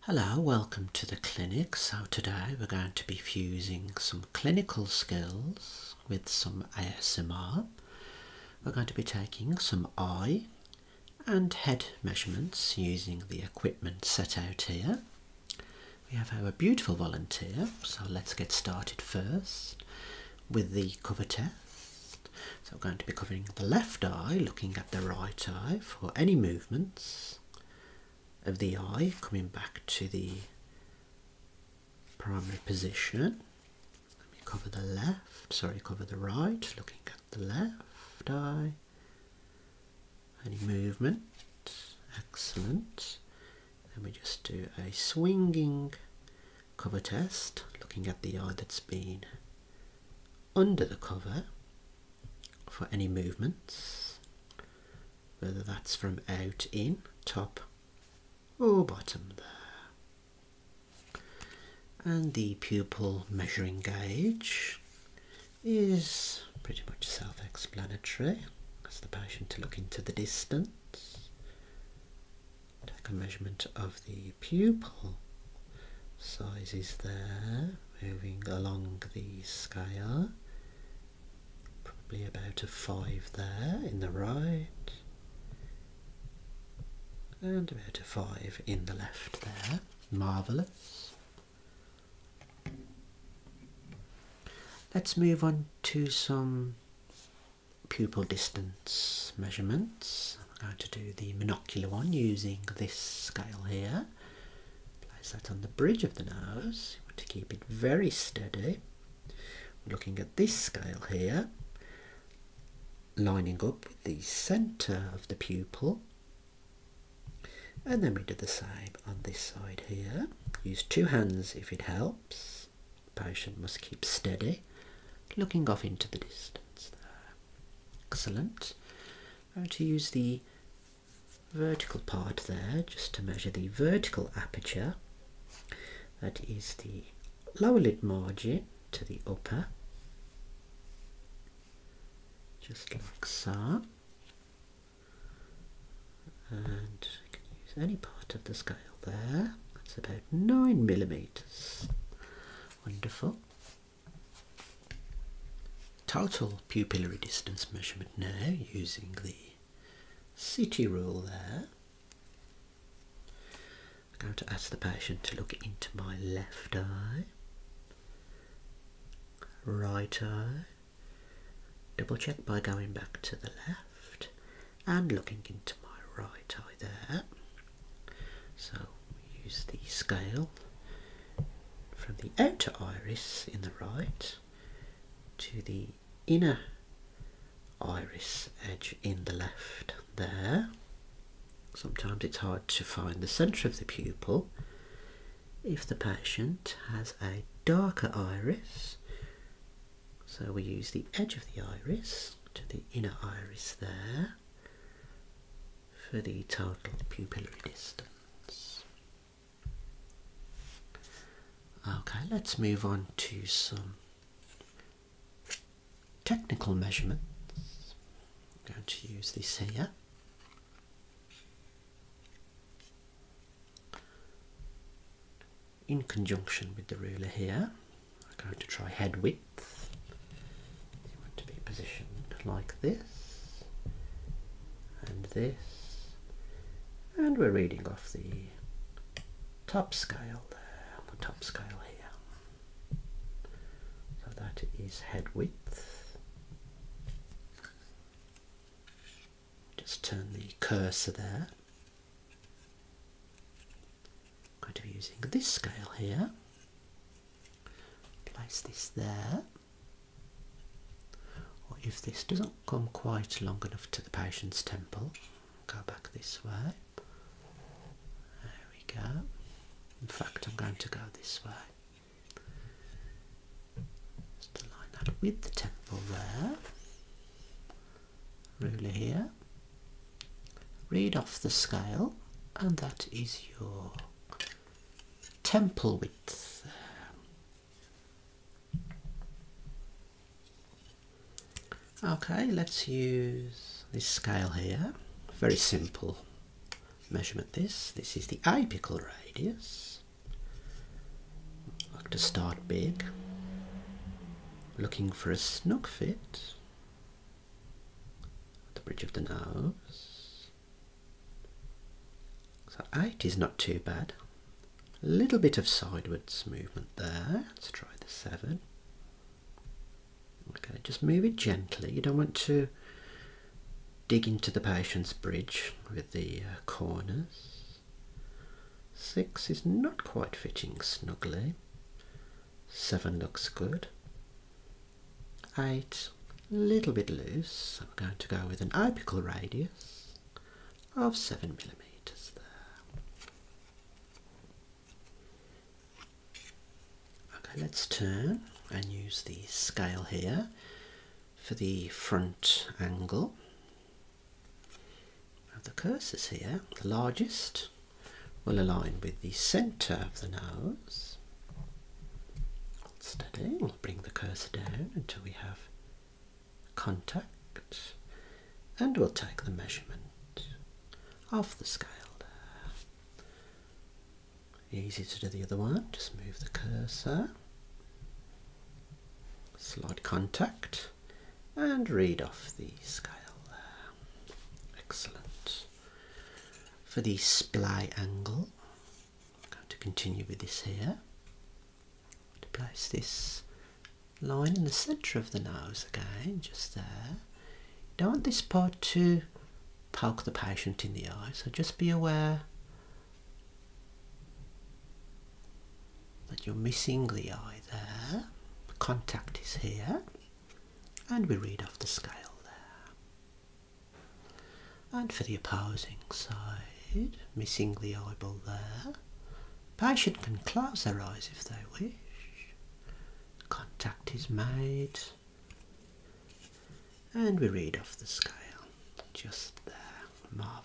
Hello, welcome to the clinic. So today we're going to be fusing some clinical skills with some ASMR. We're going to be taking some eye and head measurements using the equipment set out here. We have our beautiful volunteer, so let's get started first with the cover test. So we're going to be covering the left eye, looking at the right eye for any movements of the eye coming back to the primary position. Let me cover the left, sorry, cover the right, looking at the left eye. Any movement? Excellent. Then we just do a swinging cover test, looking at the eye that's been under the cover for any movements, whether that's from out, in, top or bottom there. And the pupil measuring gauge is pretty much self-explanatory. Ask the patient to look into the distance, take a measurement of the pupil size is there, moving along the scale. Probably about a 5 there in the right, and about a 5 in the left there. Marvellous. Let's move on to some pupil distance measurements. I'm going to do the monocular one using this scale here. Place that on the bridge of the nose. to keep it very steady. looking at this scale here, lining up with the centre of the pupil. And then we do the same on this side here. Use two hands if it helps. patient must keep steady, looking off into the distance there. Excellent. I'm going to use the vertical part there just to measure the vertical aperture. That is the lower lid margin to the upper. Just like so. And I can use any part of the scale there. That's about 9 millimetres. Wonderful. Total pupillary distance measurement now using the CT rule there. I'm going to ask the patient to look into my left eye, right eye, double check by going back to the left and looking into my right eye there. So use the scale from the outer iris in the right to the inner iris edge in the left there. Sometimes it's hard to find the centre of the pupil. If the patient has a darker iris, so we use the edge of the iris to the inner iris there for the total pupillary distance. Okay, let's move on to some technical measurements. I'm going to use this here. In conjunction with the ruler here, I'm going to try head width. You want to be positioned like this and this, and we're reading off the top scale there, the top scale here. So that is head width. Just turn the cursor there. I'm going to be using this scale here. Place this there. Or if this doesn't come quite long enough to the patient's temple, go back this way. There we go. In fact, I'm going to go this way. Just align that with the temple there ruler here. Read off the scale, and that is your temple width. Okay, let's use this scale here. Very simple measurement this. This is the apical radius. Like to start big. Looking for a snug fit the bridge of the nose. So eight is not too bad. A little bit of sideways movement there. Let's try the seven. Okay, just move it gently. You don't want to dig into the patient's bridge with the uh, corners. Six is not quite fitting snugly. Seven looks good. Eight, a little bit loose. I'm going to go with an apical radius of seven millimeters there. Okay, let's turn and use the scale here for the front angle. Now the cursors here, the largest will align with the centre of the nose. Steady, we'll bring the cursor down until we have contact and we'll take the measurement of the scale there. Easy to do the other one, just move the cursor, slide contact and read off the scale Excellent. For the splay angle, I'm going to continue with this here. To place this line in the centre of the nose again, just there. Don't want this part to poke the patient in the eye, so just be aware that you're missing the eye there. contact is here. And we read off the scale there. And for the opposing side, missing the eyeball there. Patient can close their eyes if they wish. Contact is made. And we read off the scale just there. Marvellous.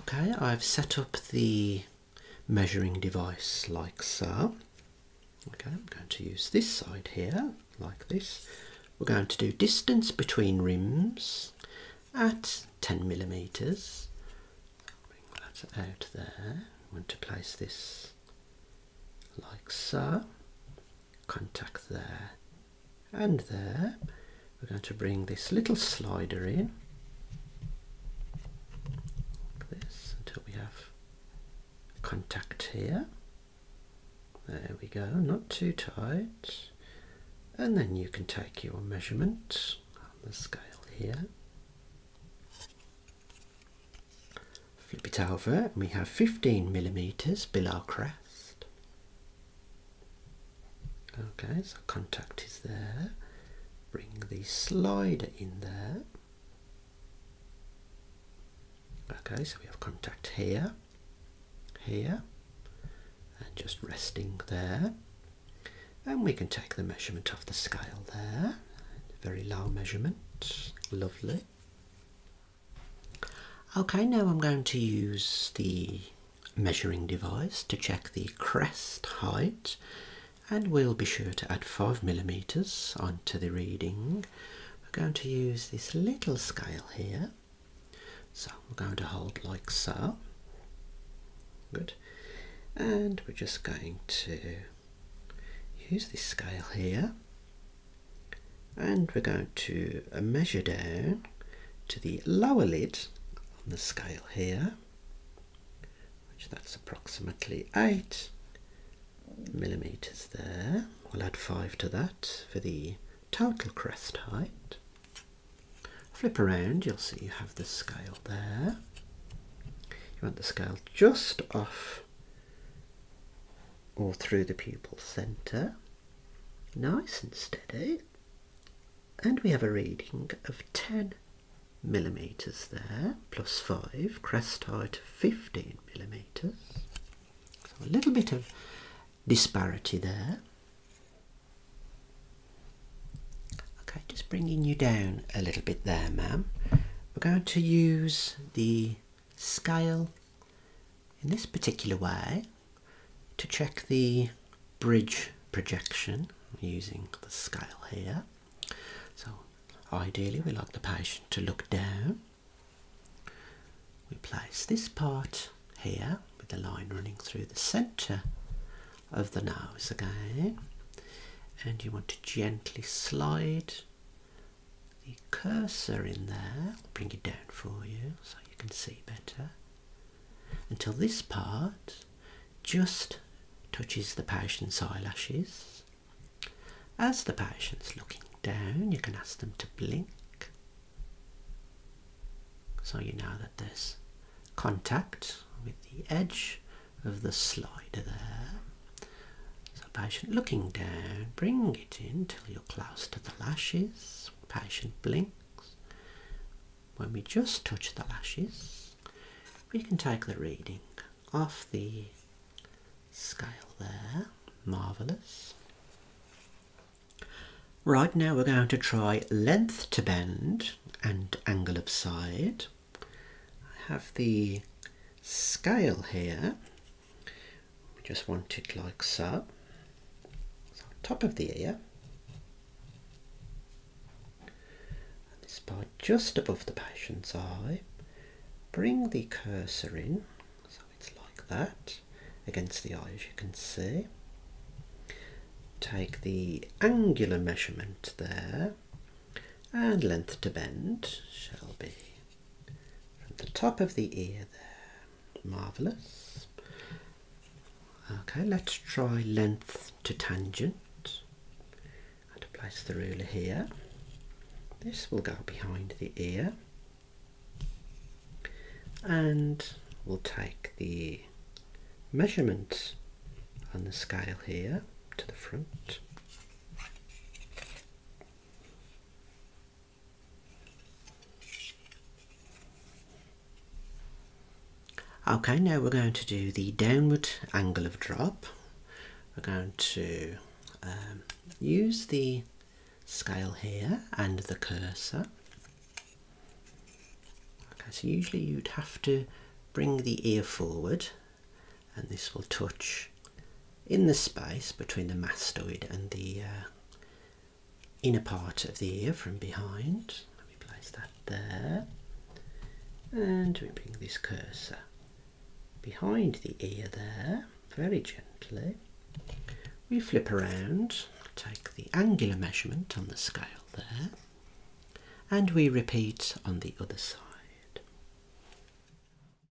Okay, I've set up the measuring device like so. Okay, I'm going to use this side here, like this. We're going to do distance between rims at 10 millimeters. Bring that out there. want to place this like so. Contact there and there. We're going to bring this little slider in this until we have contact here. There we go, not too tight. And then you can take your measurement on the scale here. Flip it over and we have 15 millimeters below crest. Okay, so contact is there. Bring the slider in there. Okay, so we have contact here, here, and just resting there. And we can take the measurement of the scale there. Very low measurement, lovely. Okay, now I'm going to use the measuring device to check the crest height and we'll be sure to add 5 millimeters onto the reading. We're going to use this little scale here. So I'm going to hold like so. Good. And we're just going to use this scale here and we're going to uh, measure down to the lower lid on the scale here which that's approximately 8 millimeters there we'll add 5 to that for the total crest height flip around you'll see you have the scale there you want the scale just off or through the pupil center nice and steady. And we have a reading of 10 millimetres there, plus 5, crest height of 15 millimetres. So a little bit of disparity there. Okay, just bringing you down a little bit there, ma'am. We're going to use the scale in this particular way to check the bridge projection using the scale here. So ideally we like the patient to look down. We place this part here with a line running through the centre of the nose again and you want to gently slide the cursor in there. I'll bring it down for you so you can see better. Until this part just touches the patient's eyelashes. As the patient's looking down, you can ask them to blink so you know that there's contact with the edge of the slider there. So patient looking down, bring it in, you're close to the lashes. Patient blinks. When we just touch the lashes, we can take the reading off the scale there. Marvellous. Right now we're going to try length to bend and angle of side. I have the scale here we just want it like so. so top of the ear and this part just above the patient's eye bring the cursor in so it's like that against the eye as you can see take the angular measurement there and length to bend shall be from the top of the ear there. Marvellous. Okay, let's try length to tangent. I'm place the ruler here. This will go behind the ear. And we'll take the measurement on the scale here to the front. Okay, now we're going to do the downward angle of drop. We're going to um, use the scale here and the cursor. Okay, so usually you'd have to bring the ear forward and this will touch in the space between the mastoid and the uh, inner part of the ear from behind. Let me place that there. And we bring this cursor behind the ear there, very gently. We flip around, take the angular measurement on the scale there, and we repeat on the other side.